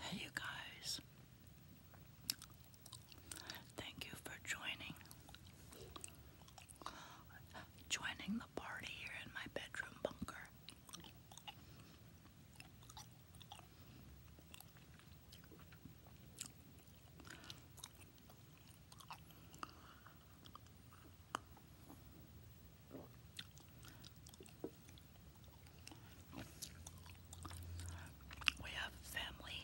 Hey, you guys. Thank you for joining. Joining the party here in my bedroom bunker. We have family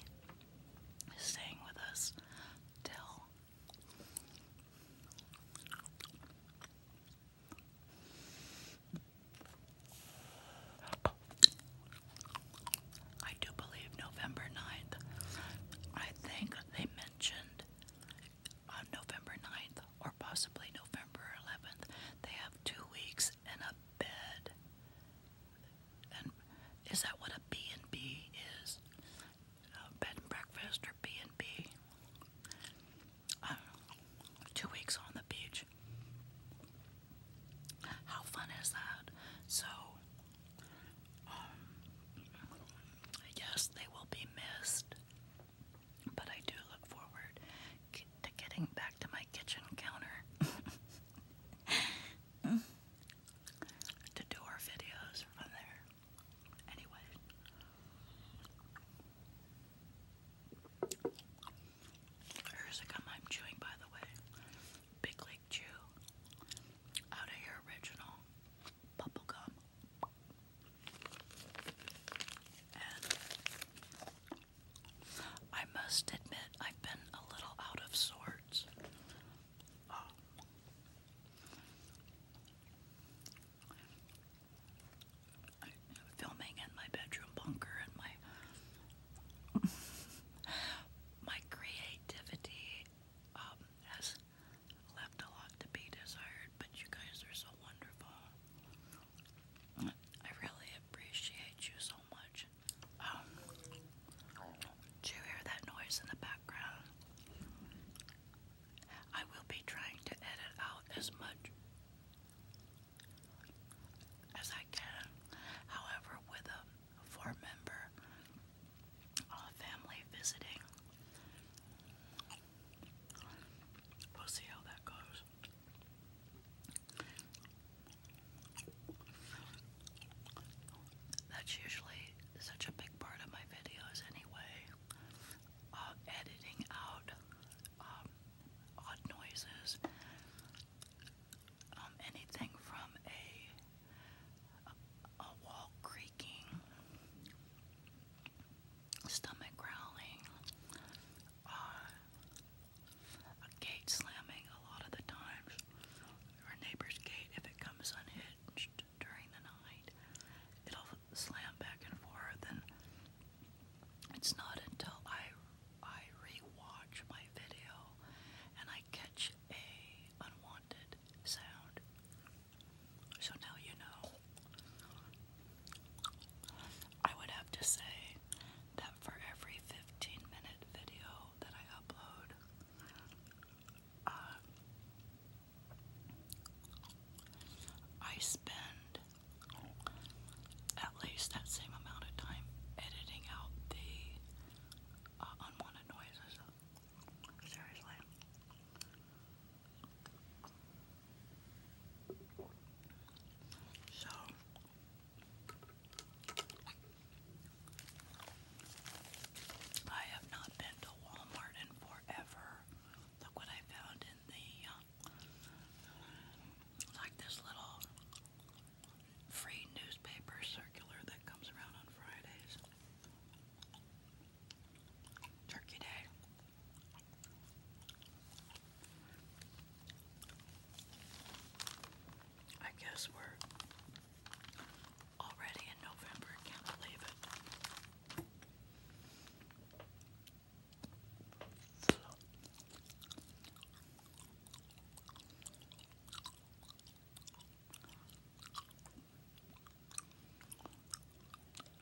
staying with us till I do believe November 9th. I think they mentioned on uh, November 9th or possibly November 11th. They have two weeks in a bed. And is that what a B&B is? Uh, bed and breakfast or B&B? Uh, two weeks on the beach. How fun is that? So um, yes, they will be missed, but I do look forward to getting back to my kitchen counter to do our videos from there. Anyway, here's a gum I'm chewing, by the way. Big Lake Chew out of your original bubblegum. And I must admit, I've been a little out of sorts. Um, filming in my bedroom bunker in my my creativity um, has left a lot to be desired, but you guys are so wonderful. I really appreciate you so much. Um, do you hear that noise in the background? I will be trying to edit out as much as I can. However, with um, for a member of a family visiting. We'll see how that goes. That's usually such a big part of my videos, anyway. Uh, editing out um, odd noises um, anything from a, a, wall creaking, stomach growling, uh, a gate slamming a lot of the times, or neighbor's gate if it comes unhinged during the night, it'll slam back and forth and it's not until I I rewatch my video and I catch a unwanted sound. So now you know. I would have to say that for every 15 minute video that I upload, uh, I spend at least that same amount of time editing out the uh, unwanted noises. Seriously. So I have not been to Walmart in forever. Look what I found in the um, like this little free newspaper circular that comes around on Fridays. Turkey Day. I guess we're already in November. can't believe it.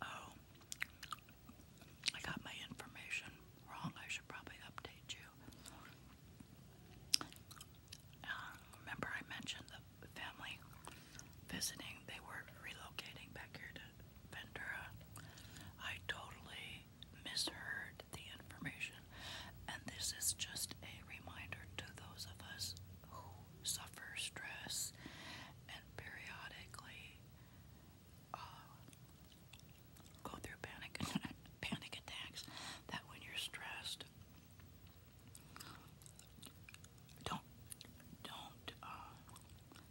Oh, I got my information wrong. I should probably update you. Uh, remember, I mentioned the family visiting, they were relocating back here to Ventura. I totally misheard the information, and this is just a reminder to those of us who suffer stress and periodically uh, go through panic panic attacks. That when you're stressed, don't don't. Uh,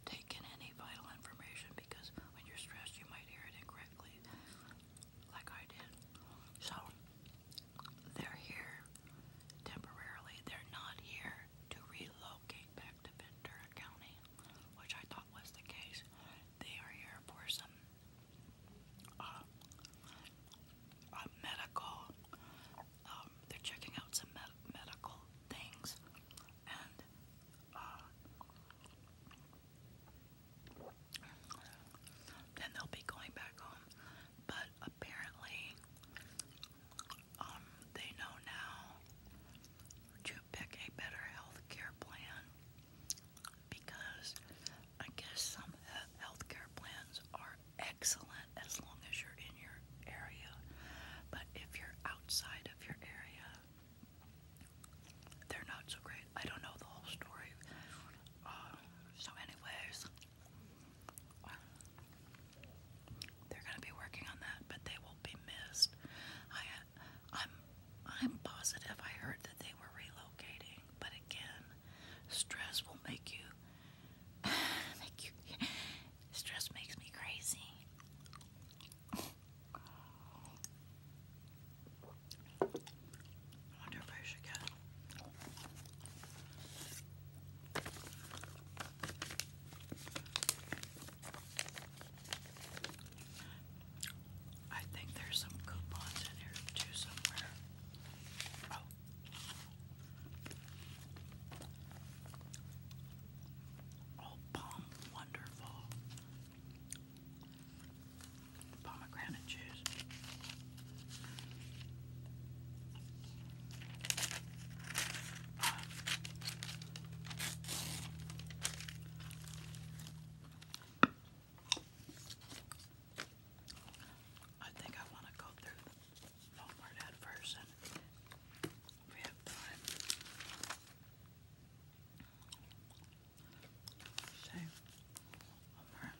take any vital information because when you're stressed, you might hear it incorrectly, like I did. So, they're here temporarily. They're not here to relocate back to Ventura County, which I thought was the case. They are here for some uh, medical. Um, they're checking out some medical things, and then they'll be going back home. But apparently, um, they know now to pick a better health plan because I guess some health care plans are excellent as long as you're in your area. But if you're outside of your area, they're not so great. I don't know the whole story. Uh, so, anyways, they're gonna be working on that, but they will be missed. I, I'm, I'm positive. I heard that they were relocating, but again, stress will make you. make you. Stress makes me crazy. I wonder if I should get I think there's some coupons in here too somewhere. Oh wonderful pomegranate juice. Uh, I think I want to go through Walmart at first and we have time. So, one more.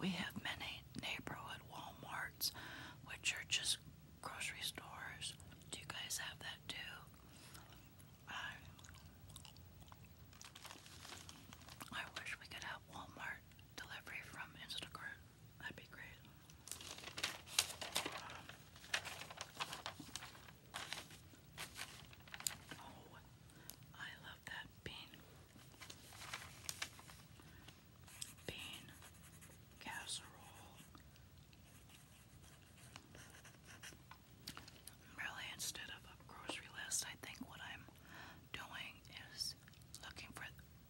We have many neighborhood Walmarts, which are just grocery stores. Do you guys have that too? I, I wish we could have Walmart delivery from Instacart. That'd be great. Oh, I love that bean. Bean casserole. Really, instead of a grocery list, I think what I'm doing is looking for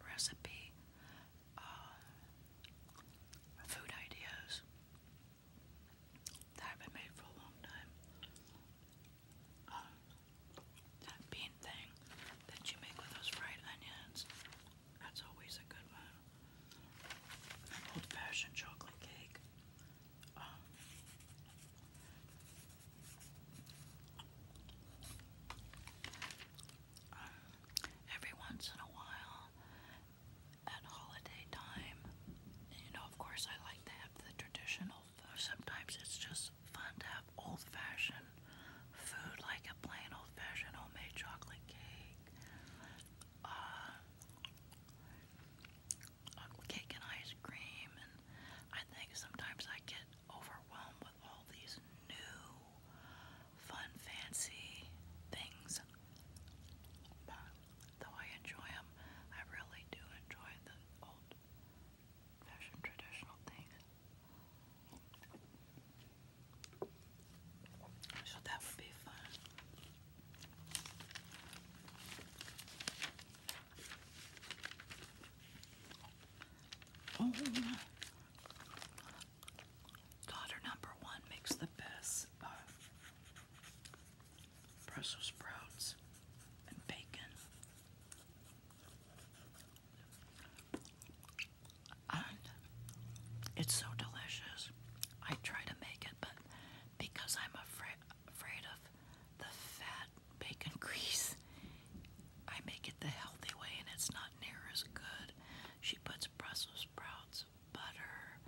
recipe uh, food ideas that have been made for a long time. Um, that bean thing that you make with those fried onions, that's always a good one. old fashioned chocolate cake. Um, uh, every once in a while, at holiday time. you know, of course, I like to have the traditional Sometimes it's just fun to have old fashioned food, like a plain old fashioned homemade chocolate cake, uh, cake and ice cream. And I think sometimes I get overwhelmed with all these new fun, fancy things, but though I enjoy them, I really do enjoy the old fashioned traditional things. So that would be fun. Oh, Daughter number one makes the best uh, Brussels sprouts and bacon. And it's so delicious. I try to make it, but because I'm afraid afraid of the fat bacon grease, I make it the healthy way, and it's not near as good. She puts Brussels sprouts, butter,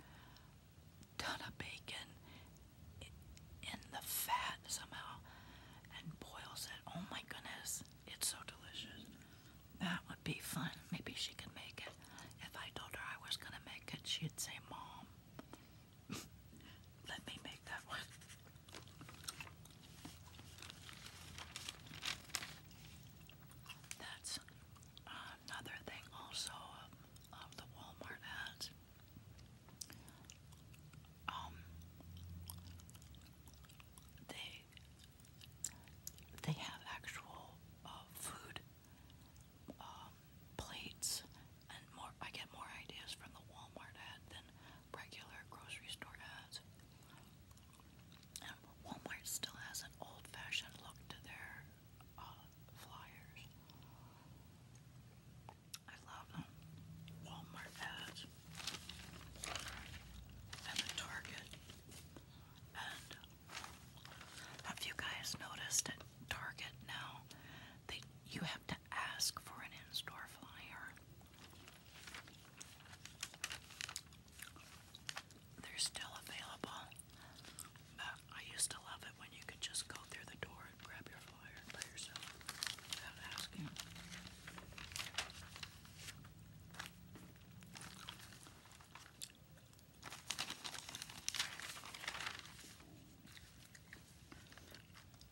ton of bacon in the fat somehow and boils it. Oh my goodness, it's so delicious. That would be fun. Maybe she could make it. If I told her I was going to make it, she'd say, Mom, let me make that one. That's another thing also of, the Walmart ads. Um, they they have actual uh, food um, plates, and more. I get more ideas from the Walmart ad than regular grocery store ads. Walmart still has an old fashioned look to their uh, flyers. I love them. Walmart ads. And Target. have you guys noticed at Target now that you have to ask for an in store flyer? They're still available, but I used to love it when you could just go through the door and grab your flyer by yourself without asking.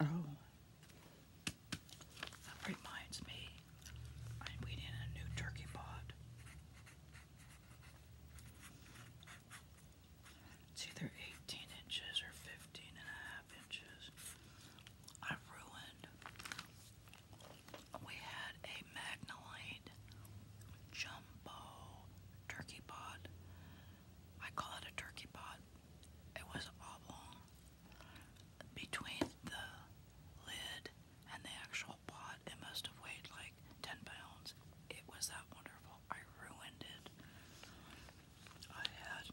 Oh, that reminds me, I'm eating a new turkey pot. It's either 18 inches or 15 inches. I ruined. We had a Magnolite jumbo turkey pot. I call it a turkey pot. It was oblong between the lid and the actual pot, it must have weighed like 10 pounds. It was that wonderful. I ruined it. I had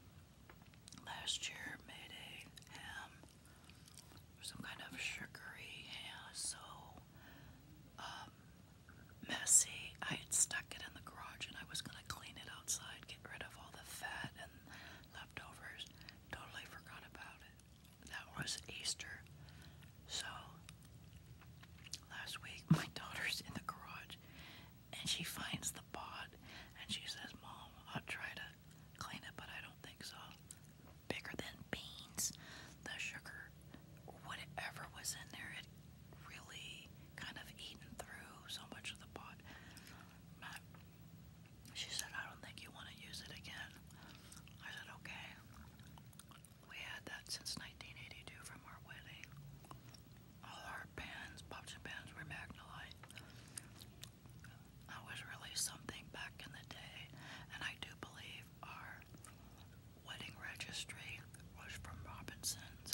last year made a ham, some kind of sugary ham, so um, messy. I had stuck it in the garage and I was going to clean it outside, get rid of all the fat and leftovers. Totally forgot about it. That was Easter. So, last week my daughter's in the garage and she finds the pot and she says, Mom, I'll try to clean it, but I don't think so. Bigger than beans, the sugar, whatever was in there, it really kind of eaten through so much of the pot. She said, I don't think you want to use it again. I said, okay. We had that since 1982 from our wedding. All our pens, pops and pens were Magnolite. That was really something back in the day. And I do believe our wedding registry was from Robinson's.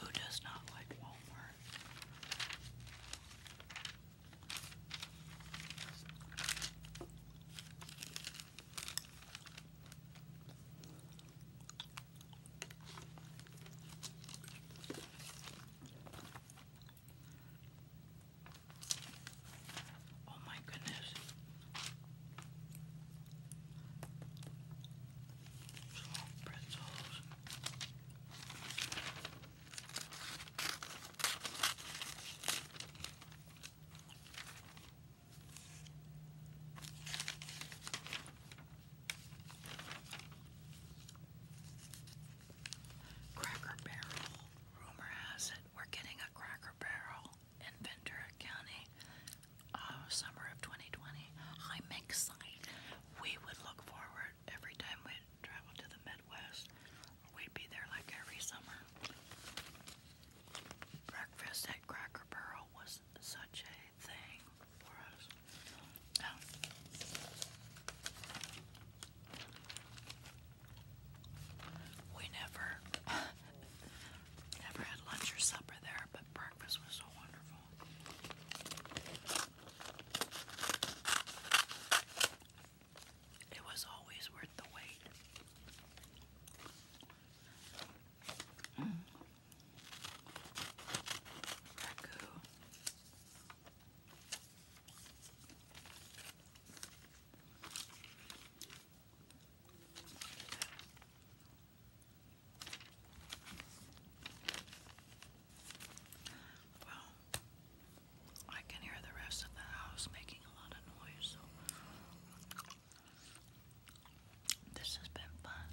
Who does not like Walmart? Oh, my goodness. pretzels. Cracker Barrel. Rumor has it we're getting a Cracker Barrel in Ventura County uh, summer of 2020, I'm excited. We would look forward every time we travel to the Midwest. We'd be there like every summer. Breakfast at Cracker Barrel was such a thing for us. Oh. We never, never had lunch or supper there, but breakfast was so wonderful. It was always worth the wait. Mm. Ragu. Well, I can hear the rest of the house making a lot of noise, so this has been fun.